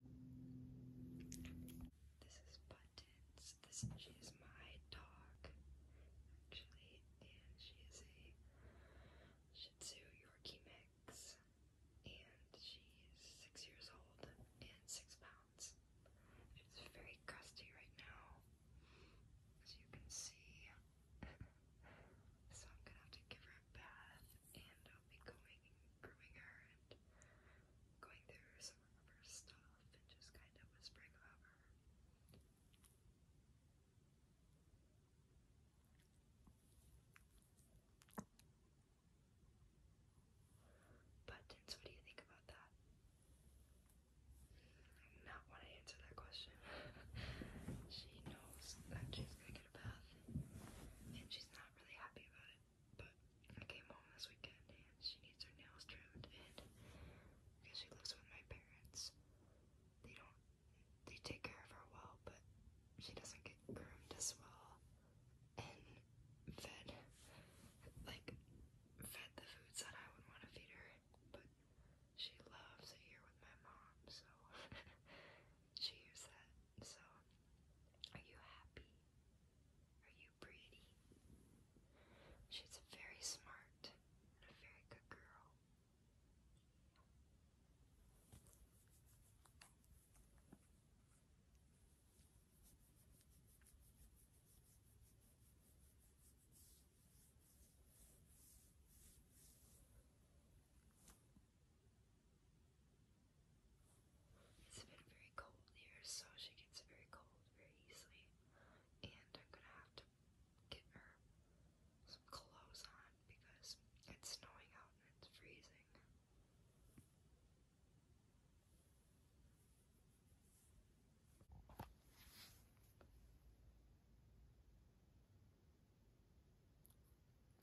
This is Buttons. she is my dog, actually, and she is a Shih Tzu Yorkie mix, and she's six years old and six pounds. She's very crusty right now, as you can see. so I'm gonna have to give her a bath and I'll be going, grooming her and going through some of her stuff and just kind of whispering about her. Buttons, what do you think about that? not want to answer that question. she knows that she's gonna get a bath and she's not really happy about it. But I came home this weekend and she needs her nails trimmed and because she lives with my parents, they don't they take care of her well, but she doesn't get groomed as well and fed like fed the foods that I would want to feed her. But she loves it here with my mom, so she used that. So are you happy? Are you pretty? She's very smart and a very good girl. It's been very cold here, so she gets very cold very easily. And I'm gonna have to get her some clothes on because it's snowing out and it's freezing.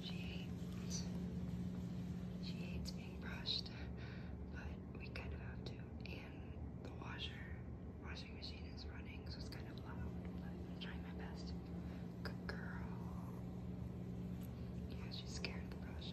She hates, she hates being brushed, but we kind of have to. And the washer, washing machine is running, so it's kind of loud, but I'm trying my best. Good girl. Yeah, she's scared of the brush.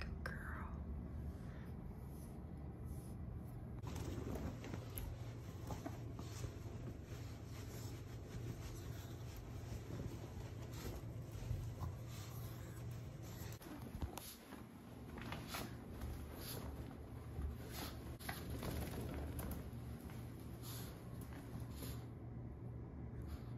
Good girl.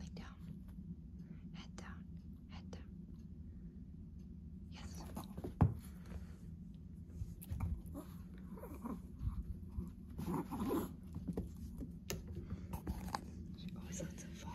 Lay down. Head down. Head down. Yes. She always lets it fall.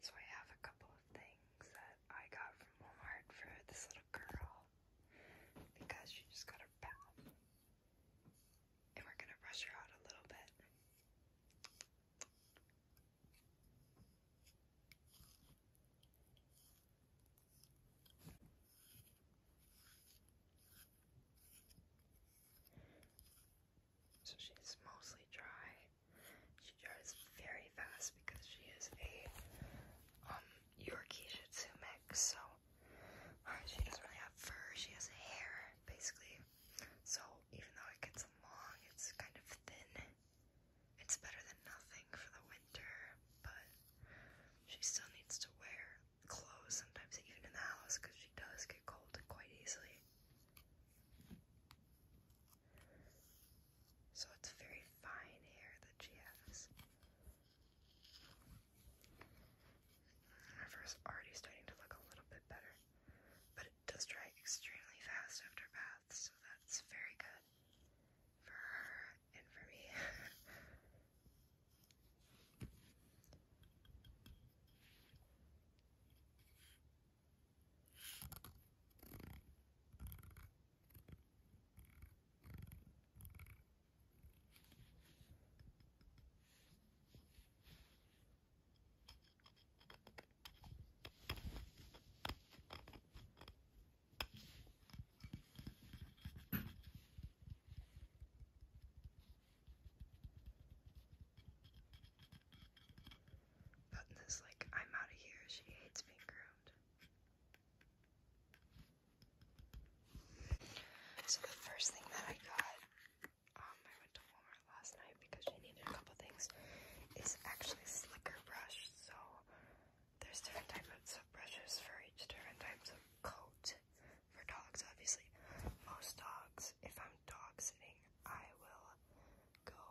So I have a couple of things that I got from Walmart for this little girl because she just got her bath. And we're going to brush her out a little bit. So she's mostly dry. She dries very fast because she is a um Yorkie Shih Tzu mix, so she doesn't really have fur, she has hair, basically. So even though it gets long, it's kind of thin. It's better than nothing for the winter, but she still needs to wear clothes sometimes, even in the house, because she does get cold quite easily. So it's very fine hair that she has. The river is already starting to look a little bit better, but it does dry extremely fast after baths, so that's very good for her and for me. Button like, I'm out of here. She hates being groomed. So the first thing that I got, um, I went to Walmart last night because she needed a couple things, is actually slicker brush. So there's different types of brushes for each different types of coat for dogs, obviously. Most dogs, if I'm dog sitting, I will go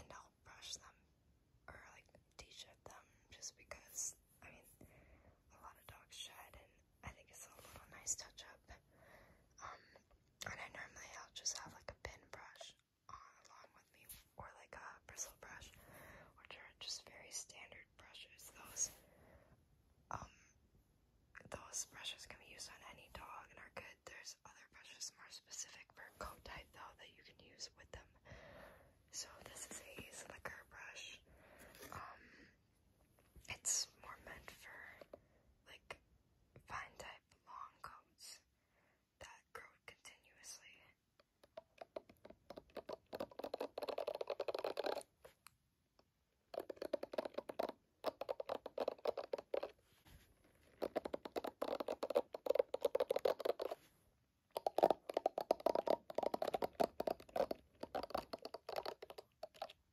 and I'll brush them or like teach shirt them just because dogs, I mean, a lot of dogs shed, and I think it's a little nice touch up. Um, and I normally I'll just have like a pin brush on along with me, or like a bristle brush, which are just very standard brushes. Those, um, those brushes can be used on any dog and are good. There's other brushes more specific for coat type though that you can use with them. So this is a slicker brush. Um, it's more meant for like fine type long coats that grow continuously.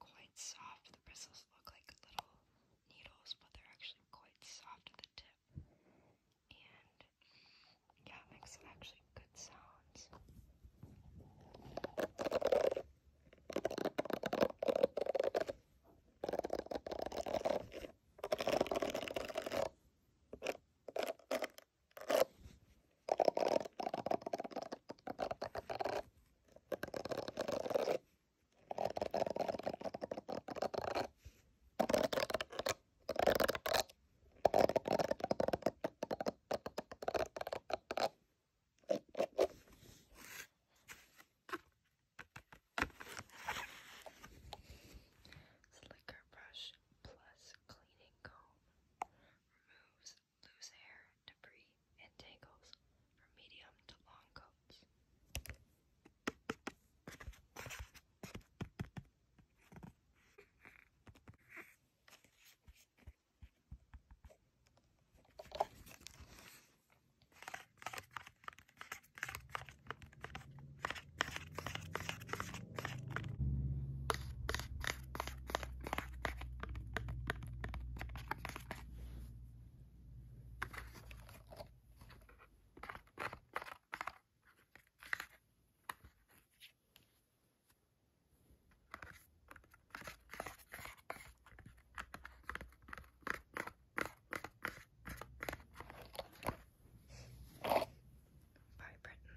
quite soft. The bristles look like little needles, but they're actually quite soft at the tip. And yeah, it makes actually good sounds. Slicker brush plus cleaning comb removes loose hair, debris, and tangles for medium to long coats. Vibrant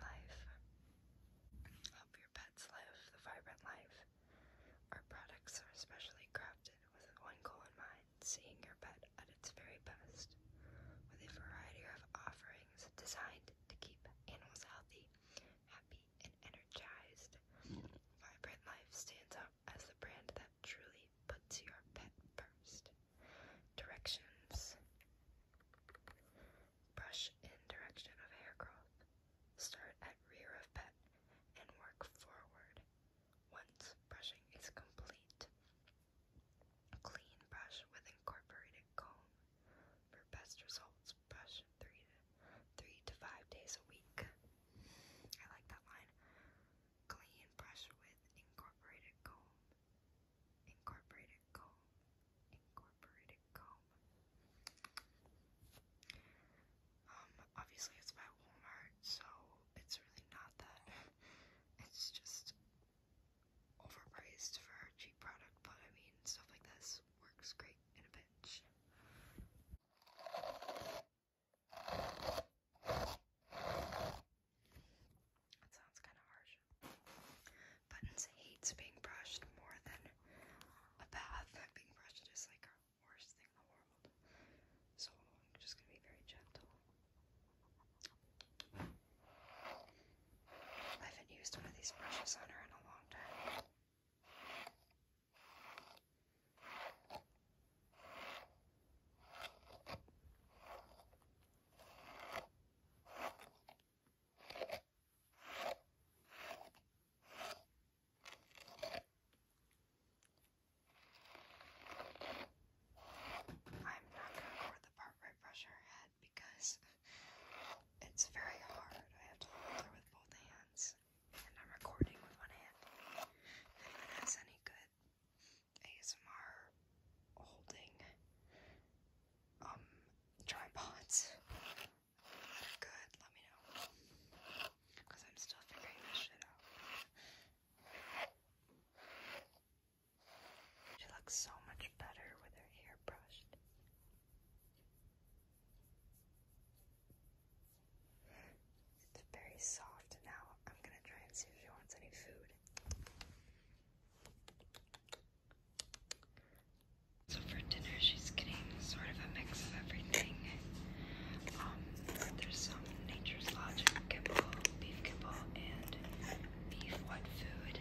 life. Help your pets live the vibrant life our products are specially crafted with one goal in mind seeing your pet at its very best. With a variety of offerings designed to keep animals healthy, happy, and energized, Vibrant Life stands up as the brand that truly puts your pet first. Directions Brush in direction of hair growth. Start at rear of pet and work forward. Once brushing is complete, clean brush with incorporated comb. For best results, brush three to, three to five days a week. I like that line. Clean brush with incorporated comb. Incorporated comb. Incorporated comb. Um, obviously it's by Walmart, so it's really not that. It's just overpriced for a cheap product, but I mean, stuff like this works great in a pinch. That sounds kind of harsh. Buttons hates being brushed more than a bath. Being brushed is like worst thing in the world. So I'm just gonna be very gentle. I haven't used one of these brushes on her in a long time. I'm not going to record the part right brush her head because it's very hard. I have to hold her with both hands, and I'm recording with one hand. No one has any good ASMR holding um tripods. good. Let me know. Because I'm still figuring this shit out. She looks so much better with her hair brushed. It's very soft now. I'm gonna try and see if she wants any food. So for dinner, she's getting sort of a mix of everything. Um, there's some Nature's Logic kibble, beef kibble, and beef wet food.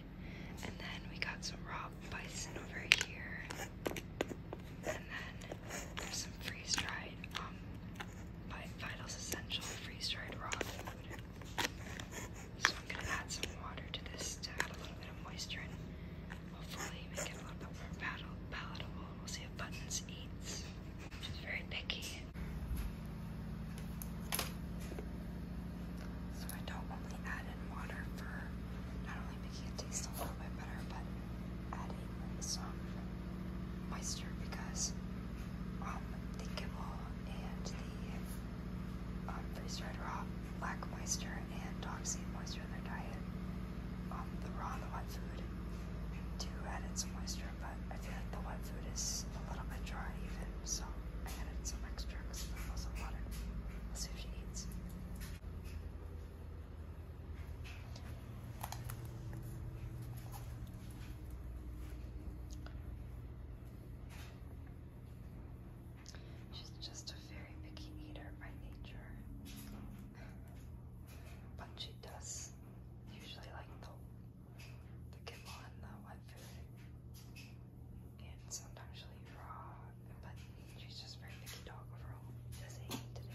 And then we got some raw bison over here. And then there's some freeze-dried, um, by Vitals Essential freeze-dried raw food. So I'm gonna add some water to this to add a little bit of moisture and hopefully make it a little bit more palatable. We'll see if Buttons eats. She's very picky. So I don't only add in water for not only making it taste a little bit better, but adding some moisture because um, the kibble and the um, freeze-dried raw lack moisture and dog moisture in their diet. Um, the raw and the wet food I add in some moisture, but I feel like the wet food is a little bit dry even, so I added some extra because I put some water. see if she eats. She's just a very picky eater by nature but she does usually like the, the kibble and the wet food, and sometimes she'll eat raw, but she's just a very picky dog overall, doesn't eat to do.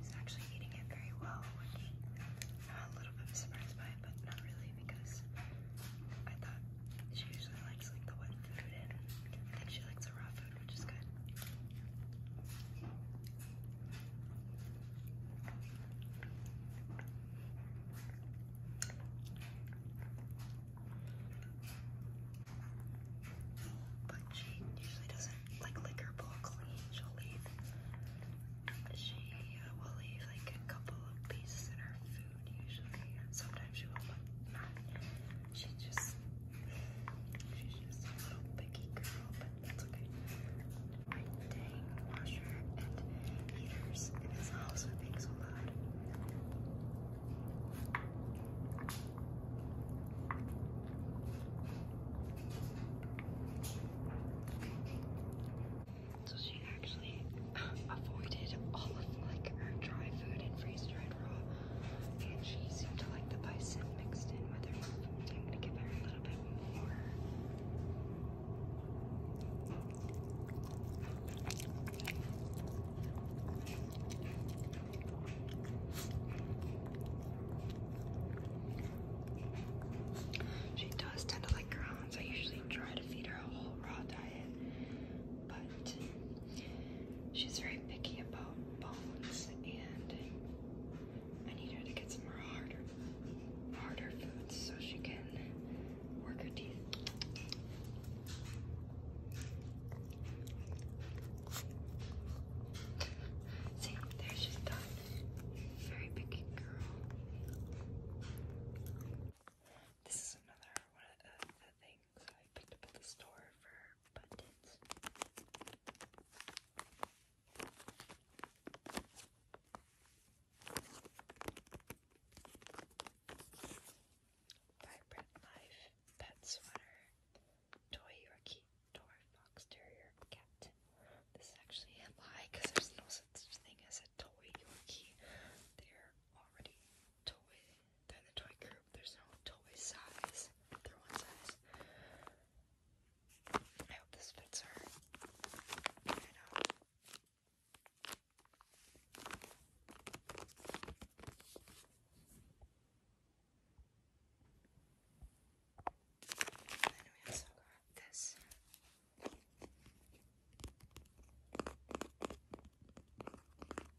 He's actually eating it very well, which I'm a little bit surprised by it, but not really because I thought she usually likes like the wet food and I think she likes the raw food, which is good. But she usually doesn't like lick her bowl clean. She'll leave. She will leave like a couple of pieces in her food usually. Sometimes she will, but not. She just she's just a little picky girl, but that's okay. My dang washer and heaters and this also are being so loud. So she actually avoided all of like her dry food and freeze dried raw, and she seemed to like the bison mixed in with her food. I'm gonna give her a little bit more. She does tend to like grounds. I usually try to feed her a whole raw diet, but she's very picky about bones, and I need her to get some more harder, harder foods so she can work her teeth. See, there she's done. Very picky girl. This is another one of the things I picked up at the store for buttons. Vibrant Life Pet Sweater toy Yorkie, toy fox terrier, cat. This is actually a lie because there's no such thing as a toy Yorkie. They're already toy. They're in the toy group. There's no toy size. They're one size. I hope this fits her. I know. And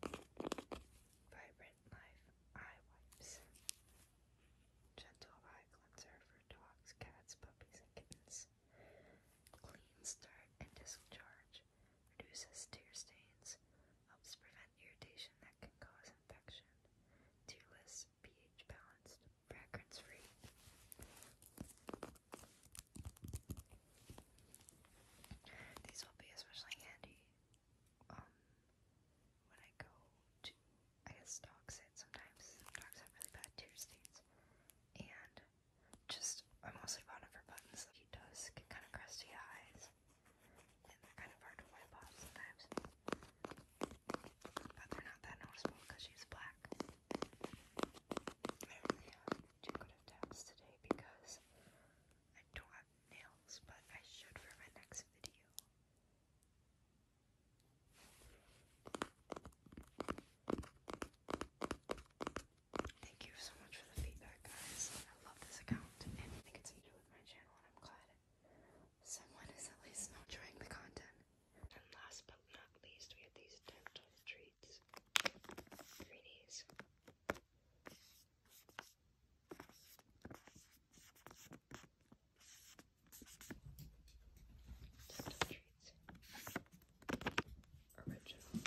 then Vibrant Life Eye Wipes. Gentle eye cleanser for dogs, cats, puppies, and kittens. Clean, start, and discharge. Reduces tear stains. Helps prevent irritation that can cause disinfection, tearless, pH balanced, fragrance free. These will be especially handy um, when I go to, I guess, dog sit sometimes. Dogs have really bad tear stains. And just, I mostly bought it for buttons. He does get kind of crusty eyes they're kind of hard to wipe off sometimes. But they're not that noticeable because she's black. I only have two good attempts today because I don't have nails, but I should for my next video. Thank you so much for the feedback, guys. I love this account and I think it's new with my channel, and I'm glad Someone is at least not enjoying the content. And last but not least, we have these dental treats. Greenies. Tactile treats. Original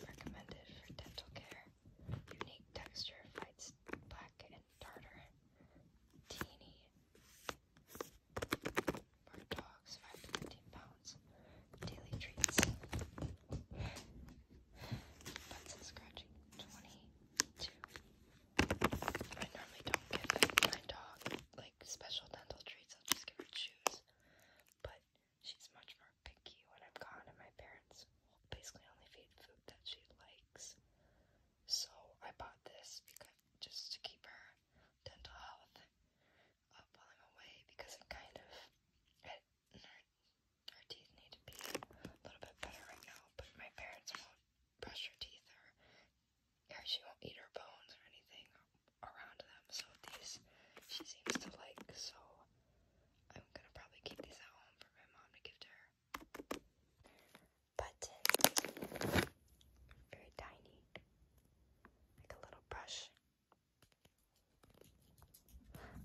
recommended for dental care. Unique texture fights black and tartar. Teeny. For dogs, 5 to 15 pounds. Daily treats. Butts and scratching, 22. I normally don't give my dog like special dental treats. I'll just give her chews. But she's much more picky when I'm gone, and my parents basically only feed food that she likes. So I bought this because just to keep her dental health up while I'm away because it kind of her teeth need to be a little bit better right now, but my parents won't brush her teeth or, she won't eat her bones or anything around them, so these she seems to like, so I'm gonna probably keep these at home for my mom to give to her. But Very tiny. Like a little brush.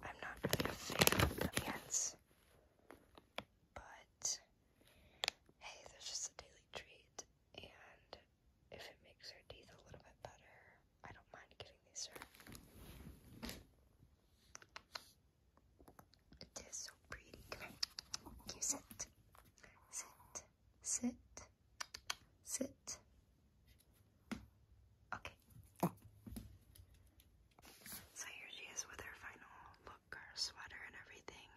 I'm not really a fan of pants. But hey, there's just a daily treat, and if it makes her teeth a little bit better, I don't mind getting these to her. It is so pretty. Come here. sit? Sit. Sit. Sit. Okay. So here she is with her final book or sweater and everything.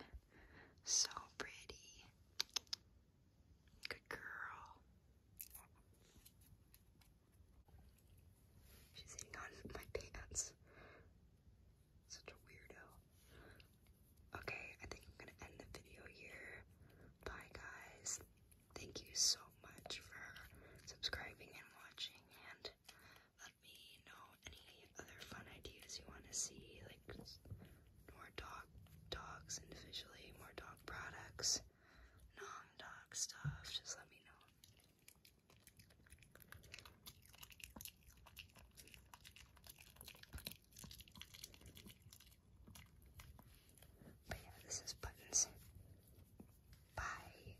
So pretty. Good girl. She's hitting on my pants. Such a weirdo. Okay, I think I'm gonna end the video here. Bye, guys. Thank you so much for subscribing and watching, and let me know any other fun ideas you want to see, like more dog dogs individually, more dog products, non-dog stuff. Just let me know. But yeah, this is Buttons. Bye.